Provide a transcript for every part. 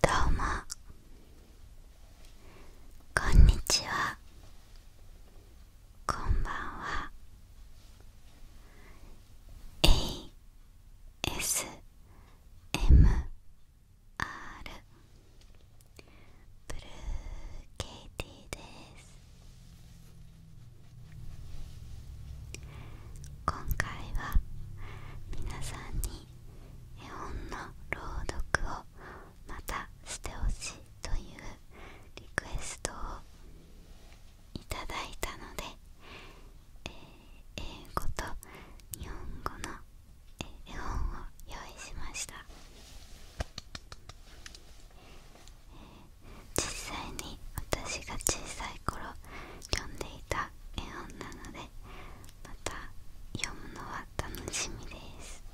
どうもこんにちはこんばんは ASMR ブルー k イティです今回は皆さんに絵本の朗読をまたしてほしいというリクエストをいただいたので、英語と日本語の絵本を用意しました、実際に私が小さい頃読んでいた絵本なのでまた読むのは楽しみです、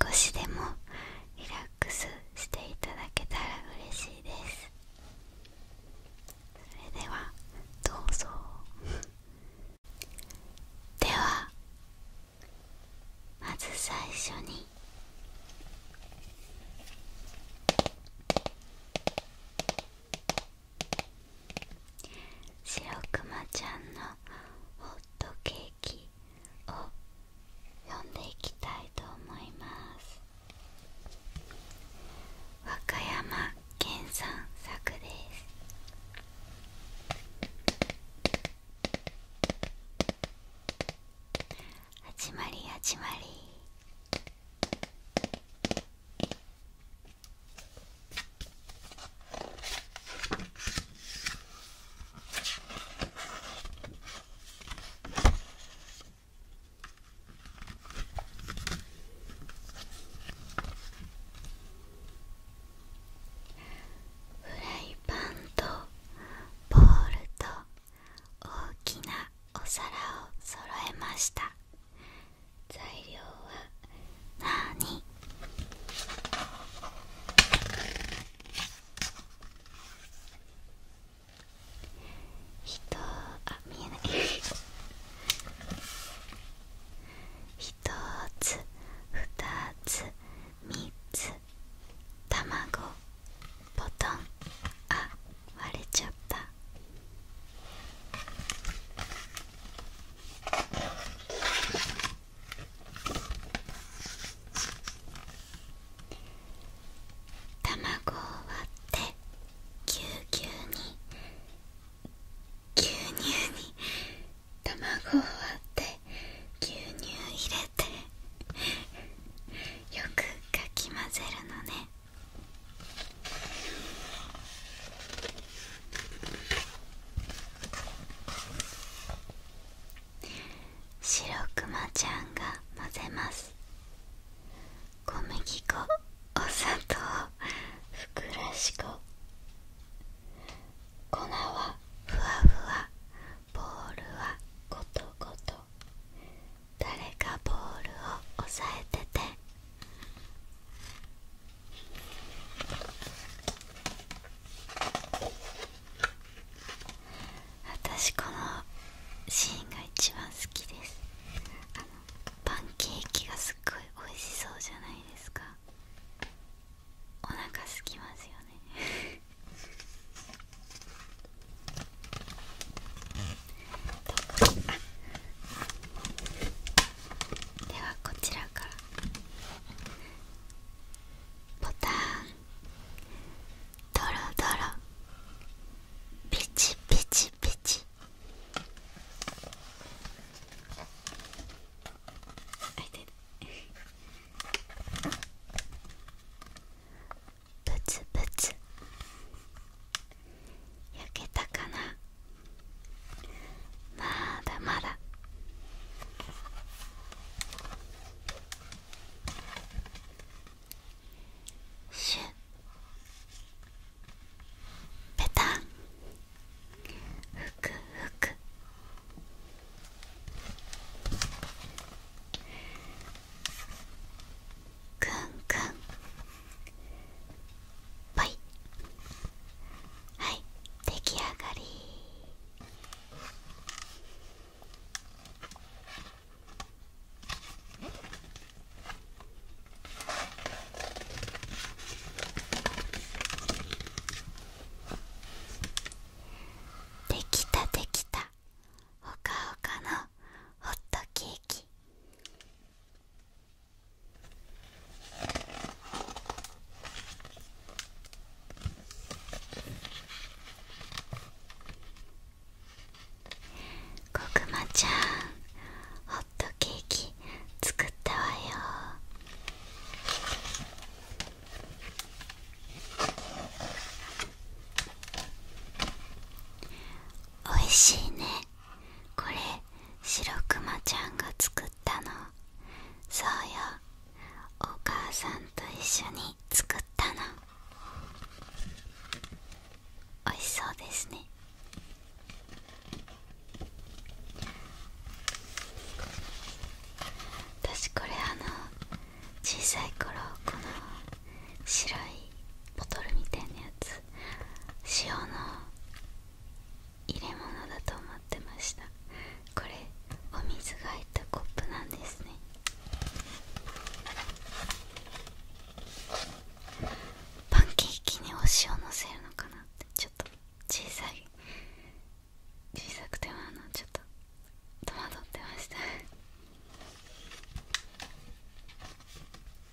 少しでもリラックスしていただけたら嬉しいですそれではどうぞ ではまず最初に「白くまちゃんのホットケーキを読んでいきたいと思います和歌山県産作です始まり始まりフライパンとボールと大きなお皿を揃えました材料はなーにひとあ見えないひとつふたつみつ卵ボタンあ割れちゃった卵を割ってぎゅうぎゅうに牛乳に卵を割って牛乳入れてよくかき混ぜるのね白くまちゃんが混ぜます小麦粉お砂糖ふくらし粉粉はふわふわボールはゴトゴト誰かボールを押さえてて私このシーンが一番好きですパンケーキがすっごい美味しそうじゃないですかお腹すきますよねではこちらからボタンドロドロピチピチピチあいてるブツブツ焼けたかなまだまだシュッペタンふくふくくんくんバい。はい出来上がりできたできたほかほかのホットケーキこくまちゃんホットケーキ作ったわよおいしいねこれシロクマちゃんが作ったのそうよお母さんと一緒に作ったのおいしそうですね私これあの小さい頃この白いボトルみたいなやつ塩の入れ物だと思ってましたこれお水が入ったコップなんですねパンケーキにお塩のせるのかなってちょっと小さい小さくてもあのちょっと戸惑ってました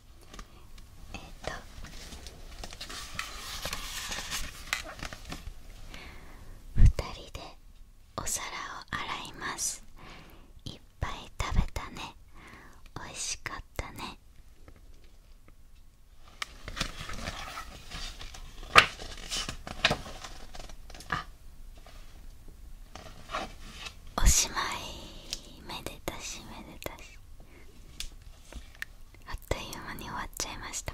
えっ、と2人でお皿を洗いますいっぱい食べたねおいしかったねあおしまいめでたしめでたしあっという間に終わっちゃいました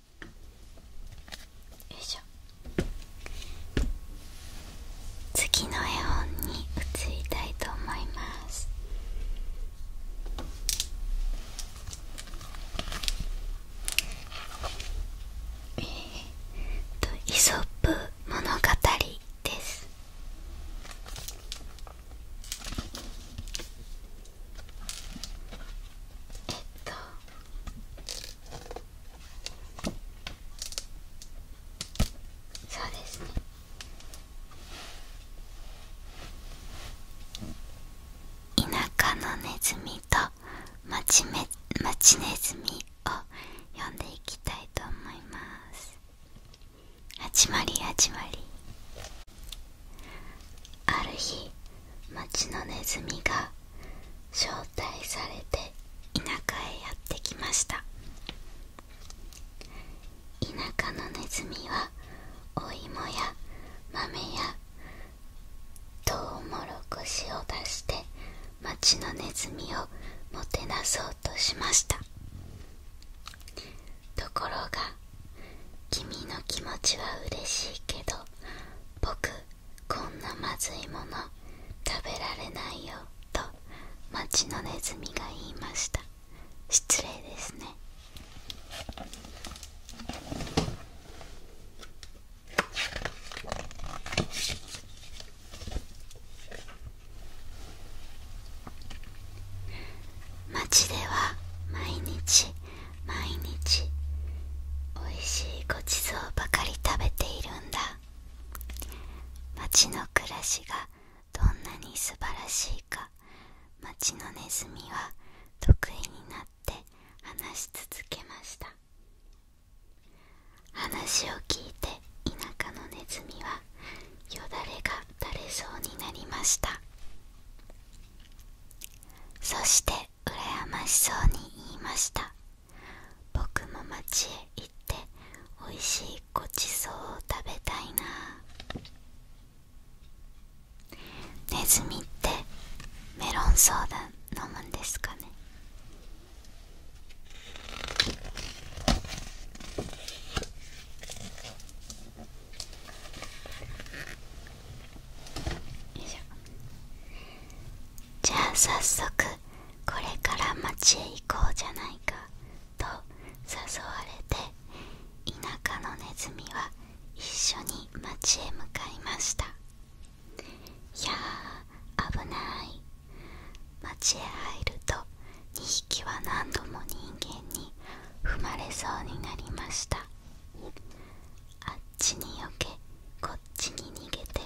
よいしょ次の絵本に移りたいと思いますえー、っと「イソップ物語」ですえっとそうですね田舎のネズミと町め町ネズミを読んでいきたいと思います始まり始まりある日町のネズミが招待されて田舎へやってきました田舎のネズミはお芋や豆やトウモロコシを出して町のネズミをもてなそうとしましたところが君の気持ちは嬉しいけど僕こんなまずいもの食べられないよと町のネズミが言いました失礼ですね町では毎日毎日おいしいごちそうばかり食べているんだ町の暮らしがどんなに素晴らしいか町のネズミは得意になって話し続けました話を聞いて田舎のネズミはよだれが垂れそうになりましたそして羨ましそうに言いました僕も町へ行っておいしいごちそうを食べたいなネズミってメロンソーダ飲むんですかねよいしょじゃあ早速これから町へ行こうじゃないかと誘われて田舎のネズミは一緒に町へ向かいましたいやー危ない町へ入ると2匹は何度も人間に踏まれそうになりましたあっちによけこっちに逃げて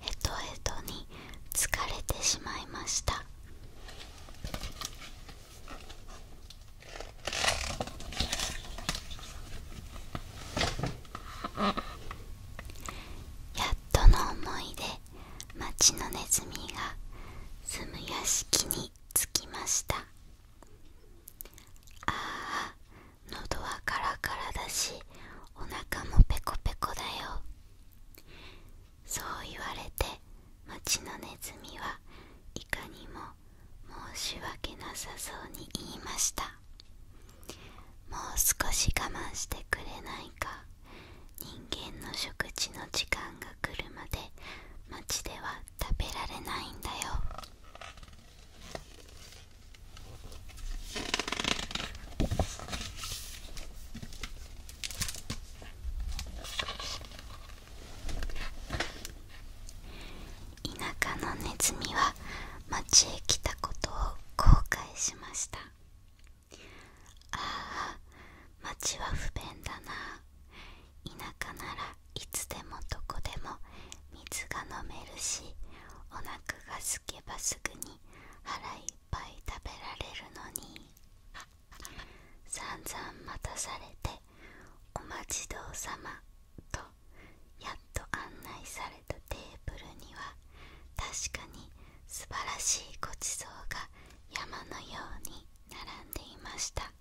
ヘとヘとに疲れてしまいましたやっとの思いで町のネズミが住む屋敷に着きました。ああ、喉はカラカラだしお腹もペコペコだよそう言われて町のネズミはいかにも申し訳なさそうに言いましたもう少し我慢してくれないか人間の食事の時間が来るまで町では食べられないんだよ田舎のネズミは町へ来たことを後悔しましたああ町は不便だな田舎ならいつでもどこでも水が飲めるしお腹がすけばすぐに腹いっぱい食べられるのにさんざん待たされてお待ちどうさまとやっと案内されたテーブルには確かに素晴らしいごちそうが山のように並んでいました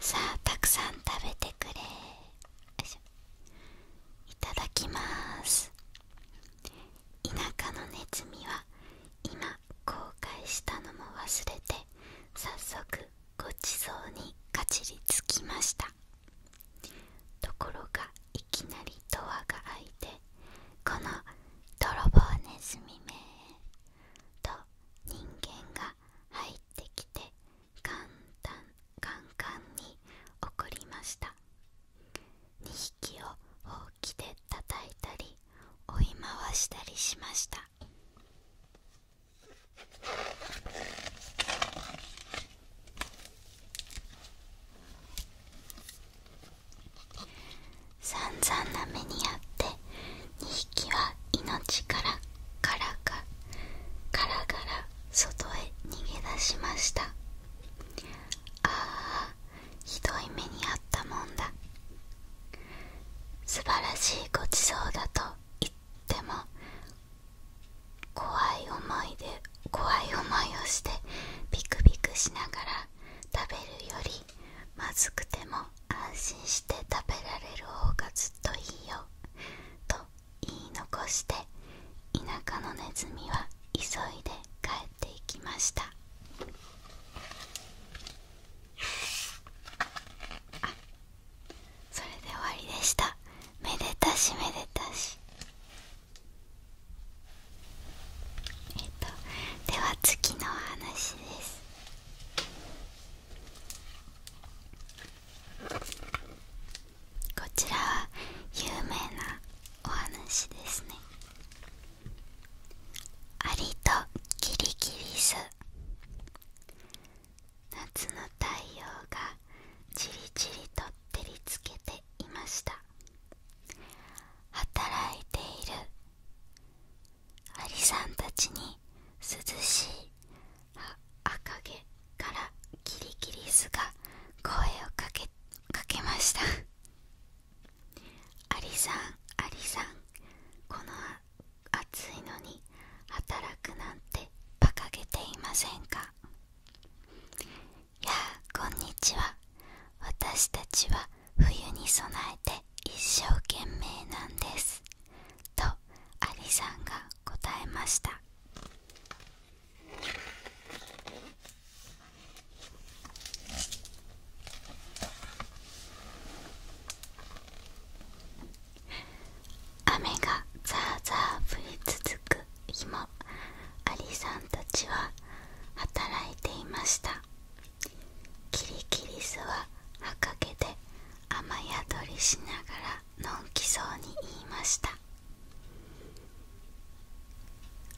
さあたくさん食べてくれいただきます田舎のネズミは今公開したのも忘れて早速ごちそうにかじりつきましたところがいきなりドアが開いてこの泥棒ネズミめと人間が入ってきて簡単簡単に怒りました2匹をほうきで叩いたり追い回したりしました散々な目にあって2匹は命からからかガラガラ外へ逃げ出しましたああひどい目にあったもんだ素晴らしいごちそうだと言っても怖い思いで怖い思いをしてビクビクしながら食べるよりまずくても安心して食べられる方がずっといいよと言い残して田舎のネズミは急いで帰っていきましたあそれで終わりでしためでたしめでたしえっとでは次の話ですこちらは有名なお話ですねありとギリギリス夏の太陽がじりじりと照りつけていました働いているアリさんたちに涼しい赤毛からキリキリスが声をかけましたアリさんアリさんこの暑いのに働くなんて馬鹿げていませんかやあこんにちは私たちは冬に備えて一生懸命なんですとアリさんが答えました雨がザーザー降り続く日アリさんたちは働いていましたキリキリスははかけで雨宿りしながらのんきそうに言いました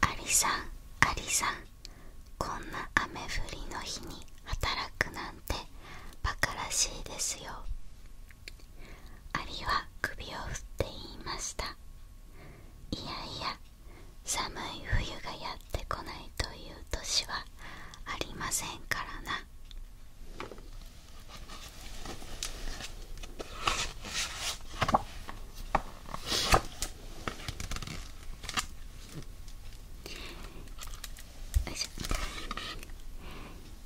アリさんアリさんこんな雨降りの日に働くなんてバカらしいですよアリは首を振って言いましたいやいや寒い冬がやってこないという年はありませんからな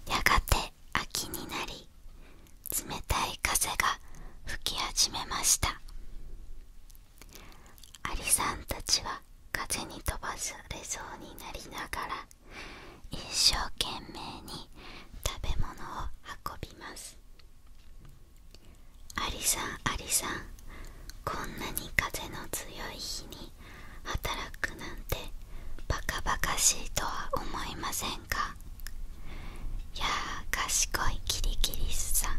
やがて秋になり冷たい風が吹き始めましたアリさんたちは風に飛ばされそうになりながら一生懸命に食べ物を運びますアリさんアリさんこんなに風の強い日に働くなんてバカバカしいとは思いませんいやー賢いキリキリスさん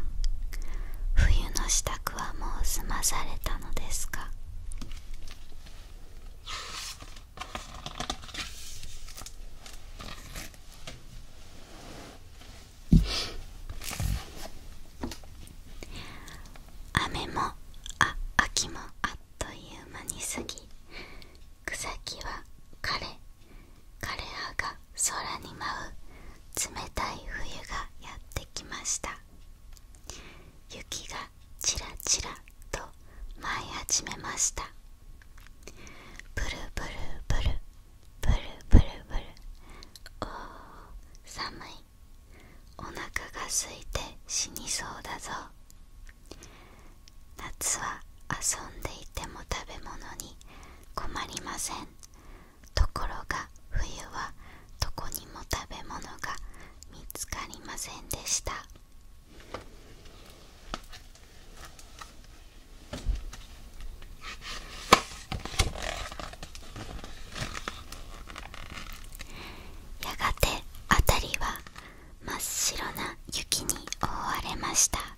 冬の支度はもう済まされたのですか雨もあ秋もあっという間に過ぎ草木は枯れ枯れ葉が空に舞う冷たい冬がやってきました雪がちらちらと舞い始めましたブルブルブルブルブルブルおー寒いお腹が空いて死にそうだぞ夏は遊んでいても食べ物に困りませんところが冬はどこにも食べ物が見つかりませんでしたやがてあたりは真っ白な雪に覆われました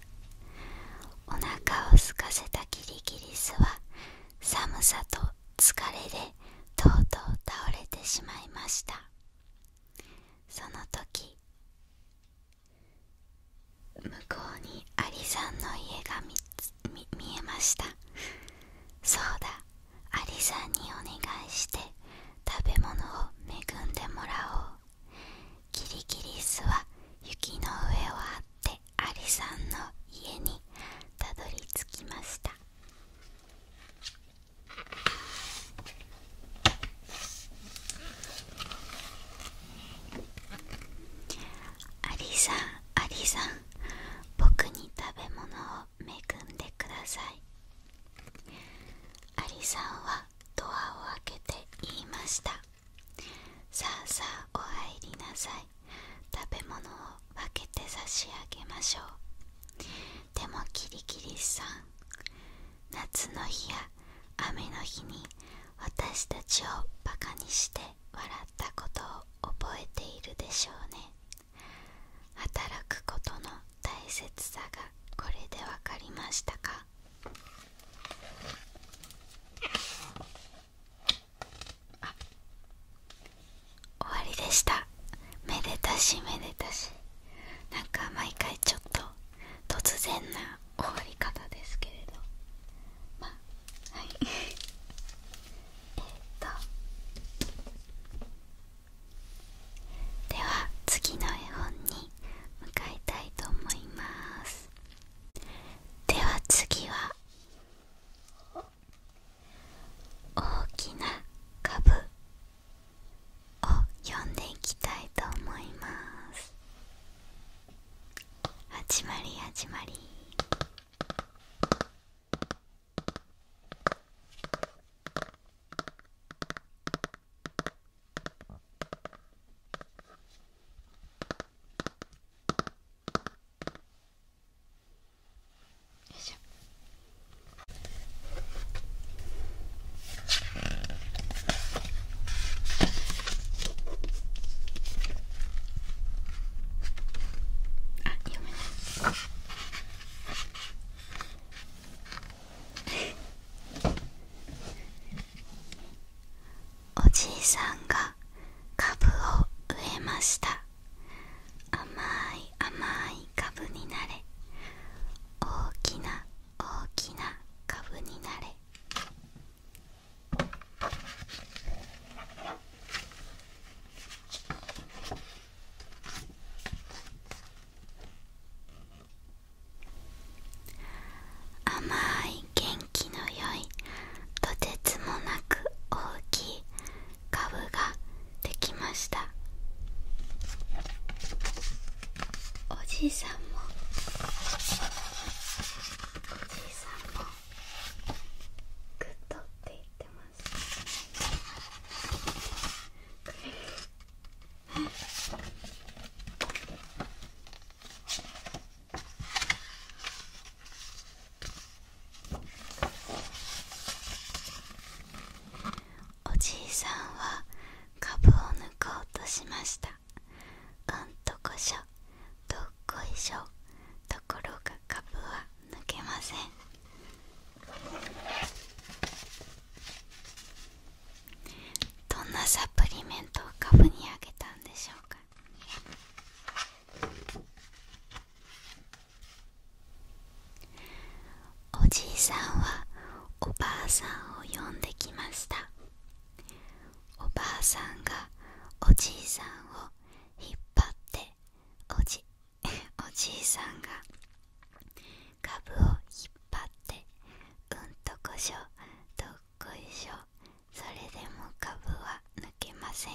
お腹を空かせたキリギリスは寒さと疲れでとうとう倒れてしまいましたその時向こうにアリさんの家が見えましたそうだアリさんにお願いして食べ物を恵んでもらおうキリギリスは雪の上をあってアリさんの家にたどり着きましたアリさんアリさん僕に食べ物を恵んでくださいアリさんはドアを開けて言いましたさあさあお入りなさい食べ物を分けて差し上げましょうでもキリキリさん夏の日や雨の日に私たちをバカにして笑ったことを覚えているでしょうね働くことの大切さがこれでわかりましたかあ終わりでしためでたしめでたしなか毎回ちょっと突然な終わり方ですけれどまあはい えとでは次の絵本にに向かいたいと思いますでは次は大きな株を読んでいきたいと思います始まり始まりいしょめないあおじいさんがかぶを植えました甘い甘いかぶになれ大きな大きなかぶになれ甘い元気の良いとてつもなく大きい株ができましたおじいさんもおじいさんもグッドって言ってました。おじいさんはかぶを抜こうとしましたあんとこしょどっこいしょところがかぶは抜けませんどんなサプリメントを株にあげたんでしょうかおじいさんはおばあさんを呼んできましたおばあさんがおじいさんを引っ張って おじいさんが株を引っ張ってうんとこしょう、とそれでも株は抜けません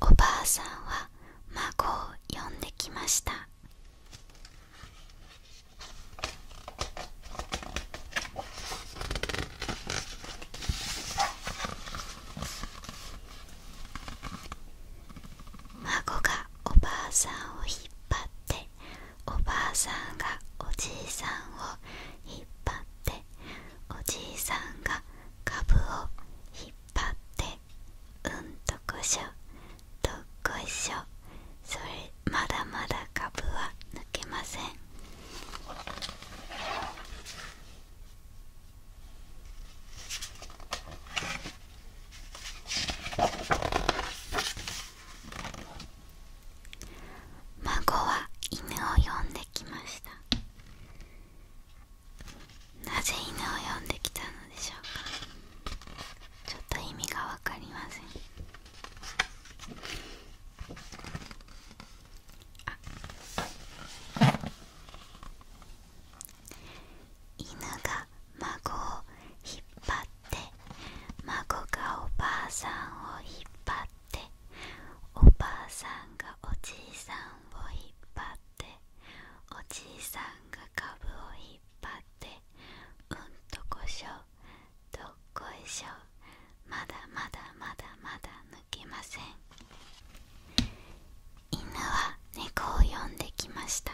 おばあさんは孫を呼んできました孫がおばあさんを引っ張っておばあさんがおじいさんを引っ張っておじいさんが株を引っ張ってうんとこしょとこしょそれまだまだ株は抜けません孫は犬を呼んできましたなぜ犬を呼んできたのでしょうかちょっと意味が分かりませんあ犬が孫を引っ張って孫がおばあさんを引っ張っておばあさんがおじいさんを引っ張っておじいさんが株を引っ張ってうんとこしょどっこいしょまだまだまだまだきません犬は猫を呼んできました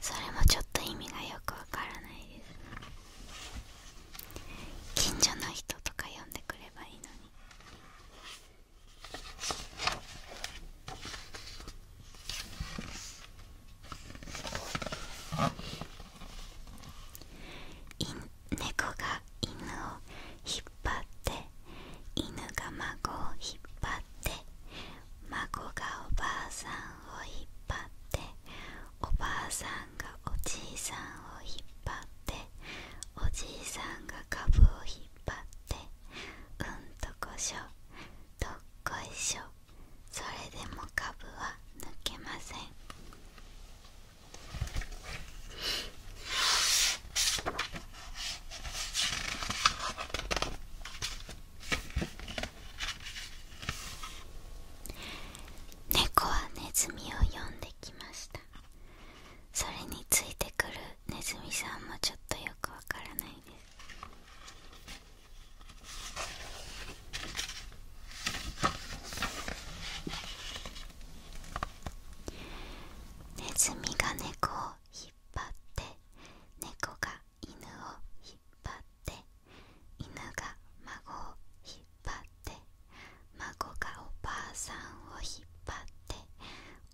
それもちょっと意味がよくわからないです近所の人とか呼んでくればいいのに猫が犬を引っ張って犬が孫を引っ張って孫がおばあさんを引っ張っておばあさんがおじいさんを引っ張っておじいさんが株を引っ張ってうんとこしょどっこいしょそれでも株は抜けません猫はネズミを呼んできましたそれについてくるネズミさんもちょっとよくわからないですネズミが猫を引っ張って猫が犬を引っ張って犬が孫を引っ張って孫がおばあさんを引っ張って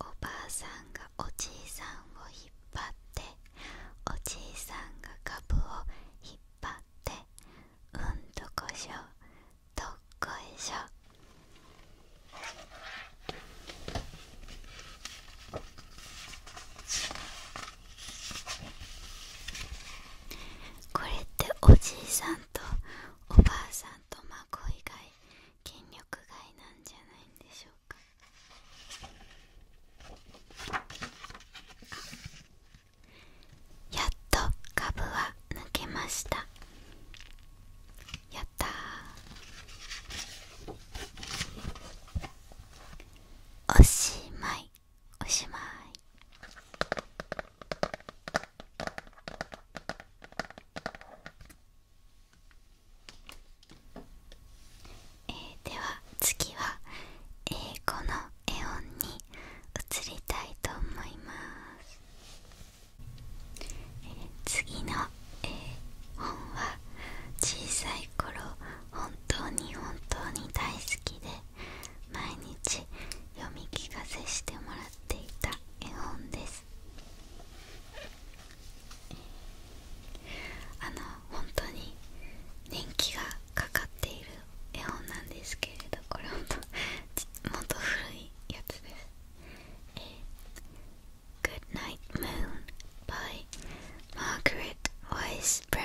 おばあさんがおじいさんを引っ張っておじいさんが株を引っ張ってうんとこしょうどこいしょこれっておじいさんとおばあさんと孫以外筋力外なんじゃないんでしょうかやっと株は抜けましたやったおしまいおしまいえー、では次は英語の絵音に移りたいと思います。次の、え本は小さい頃本当に本当に大好きで毎日読み聞かせしてもらっていた絵本ですあの本当に年季がかかっている絵本なんですけれどこれほんもっと古いやつです A Good Night Moon by Margaret Wise Brown.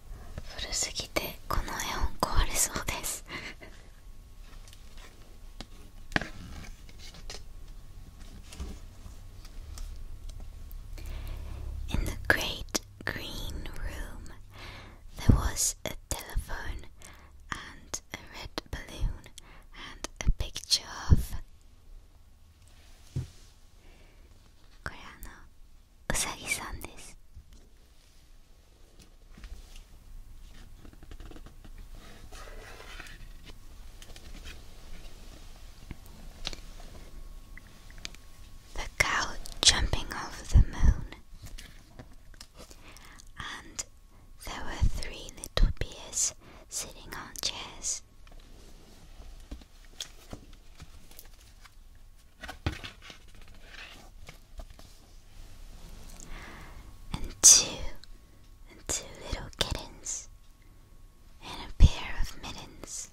古すぎてこの絵本壊れそうです In the great green room there was a telephone and a red balloon and a picture of うさぎさんです「The cow jumping off the moon」and there were three little bears sitting on chairs and two and two little kittens and a pair of mittens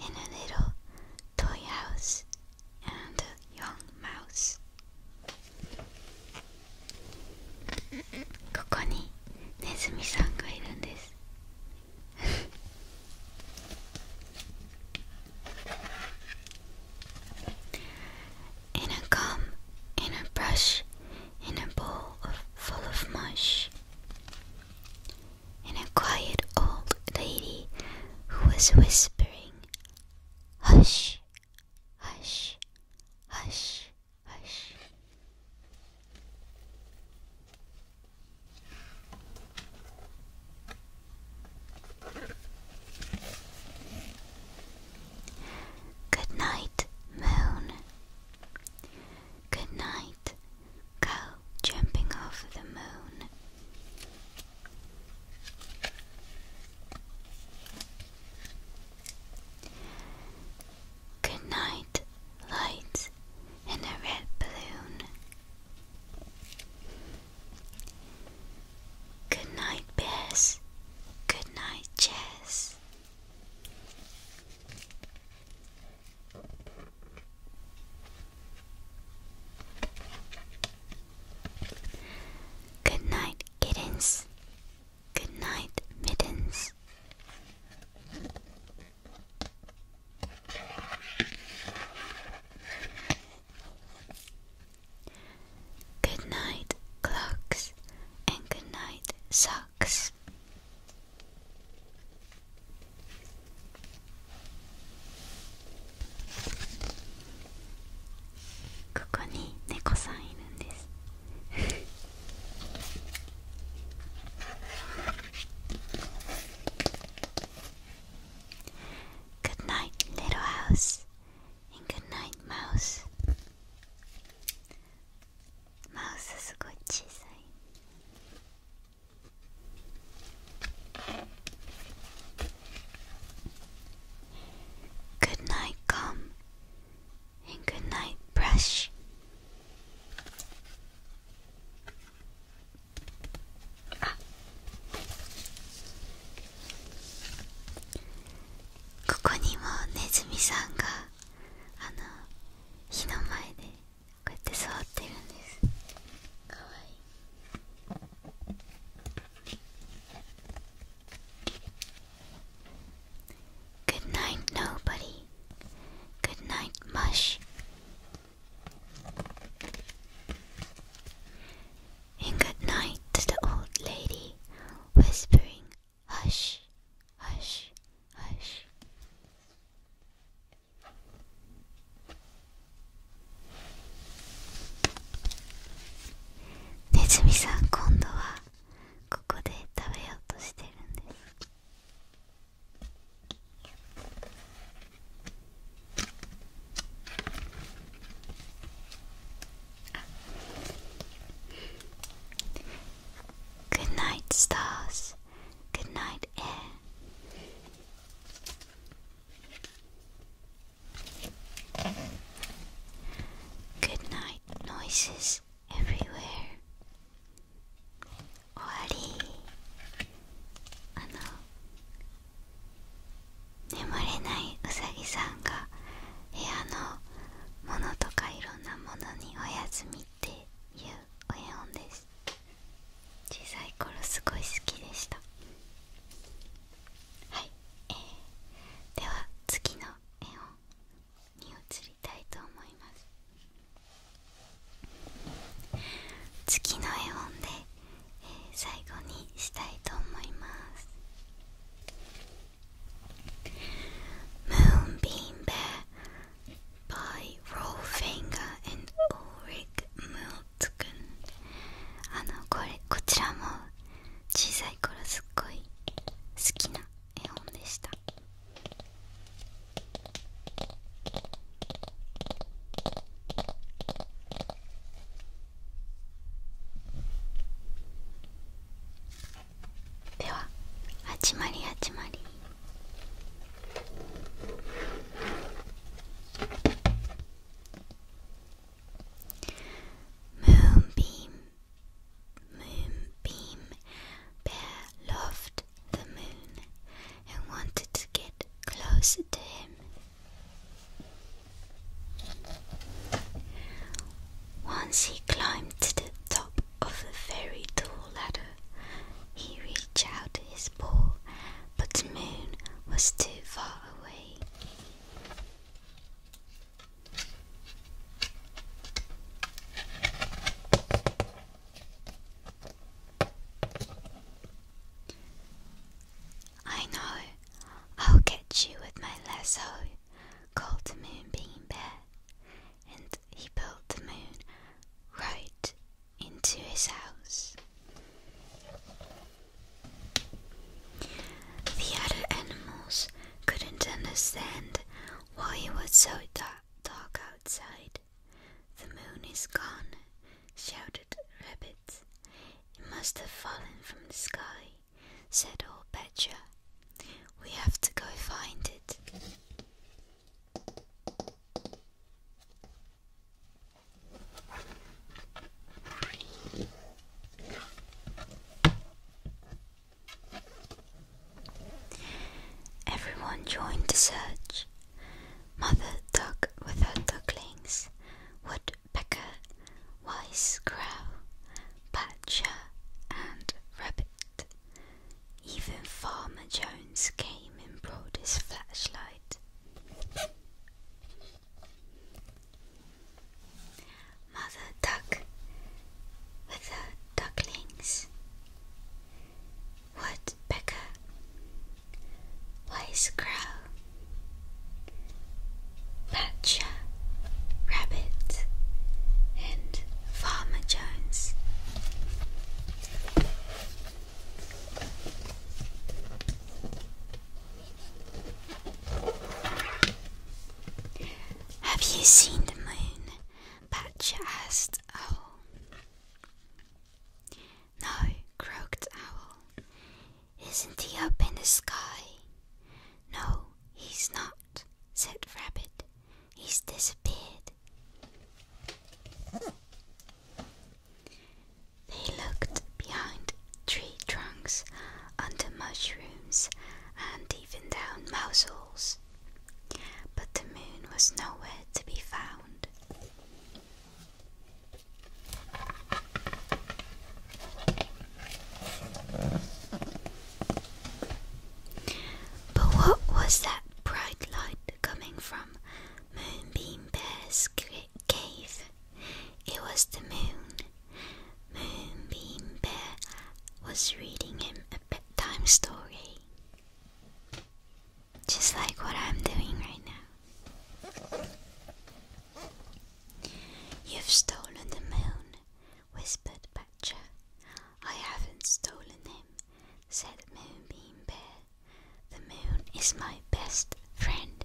and a little toy house and a young mouse ここにネズミさんがいるんです In a gum, in a brush, in a bowl of, full of mush. In a quiet old lady who was whispering, Hush, hush, hush, hush. Good night, moon. Good night, cow jumping off the moon. Good night, lights in a red balloon. Good night, Bess. Good night, Jess. Good night, kittens. Good night, mittens. Good night, clocks, and good night, socks. ここに猫さんいるんです。Good night, little house, and good night, mouse. マウスすごい小さい。Good night, gum, and good night, brush. ここにもネズミさんがあの火の前でこうやって座ってるんですかわいい「Good night nobody」「Good night mush」In good night to the old lady, whispering, Hush, hush, hush. Nezumi さん、今度はここで食べようとしてるんです。Good night, stars. Good night, air. Good night, noises everywhere. 終わりあの眠れないうさぎさんが部屋のものとかいろんなものにお休みっていうお絵本です小さい頃すごい好きでしたはい、えー、では次の絵本に移りたいと思います次の絵本で、え最後にしたいと思います「Moonbeam Bear」by Rollfinger and u l あのこれこちらも小さい頃すっごい好きな絵本でした。では始まり始まり。Moonbeam, Moonbeam, Bear loved the moon and wanted to get closer to him once he climbed to the top of the very tall ladder, he reached out his paw, but the moon was too far away. I know. I'll catch you with my lasso, called the moonbeam bear, and he built the moon right into his house. The other animals couldn't understand why it was so dark outside, the moon is gone, shouted Rabbit. It must have fallen from the sky, said old Badger. We have to go find it. Everyone joined the search. Mother duck with her ducklings, woodpecker, wise crow, badger, and rabbit. Even Farmer Jones came and brought his flashlight. Mother duck with her ducklings. What, Becca? Wise Crow, Patcha, Rabbit, and Farmer Jones. Have you seen the moon? Patcha asked Owl. Oh. No, croaked Owl. Isn't he up in the sky? No, he's not, said Rabbit. He's disappeared. They looked behind tree trunks, under mushrooms, and even down mouse But the moon was nowhere to be found. But what was that bright light coming from Moonbeam Bear's cave? It was the moon. Moonbeam Bear was reading him a bedtime story just like what I'm doing right now. You've stolen the moon, whispered Badger. I haven't stolen him, said Moonbeam Bear. The moon is my best friend.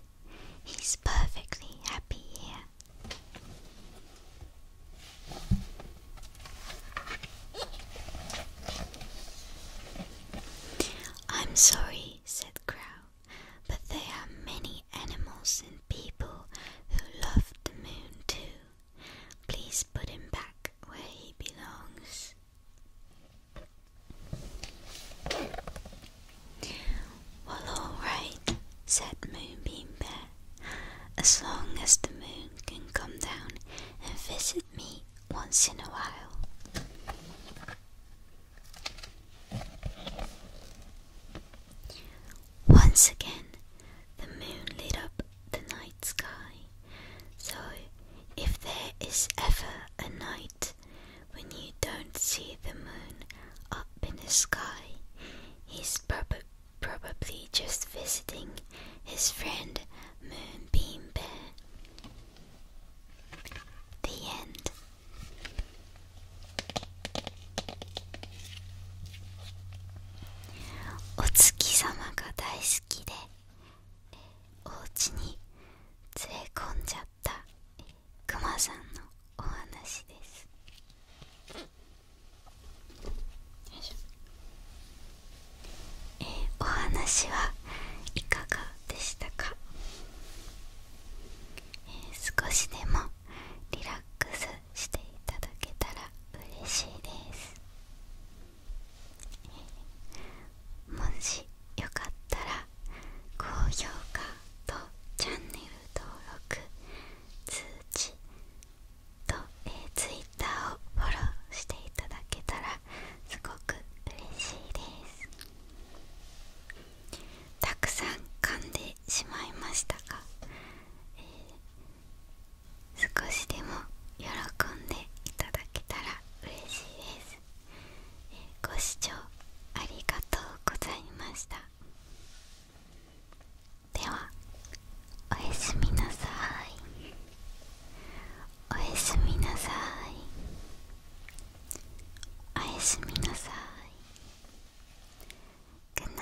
He's perfectly happy here. I'm sorry said Crow, but there are many animals and people who love the moon too. Please put him back where he belongs. Well, all right, said Moonbeam Bear, as long as the moon can come down and visit me once in a while. Once again, the moon lit up the night sky, so if there is ever a night when you don't see the moon up in the sky, he's prob probably just visiting his friend Moonbeam Bear. The end.「お月様が大好きでお家に連れ込んじゃったくまさんのお話です」お話はいかがでしたか、少しでもリラックスしていただけたら嬉しいです、もしよかったら高評価とチャンネル登録通知と、えー、Twitter をフォローしていただけたらすごく嬉しいですたくさん噛んでしまいましたが、え少しでも喜んでいただけたら嬉しいです、ご視聴ありがとうございましたではおやすみなさいおやすみなさいおやすみなさい Good night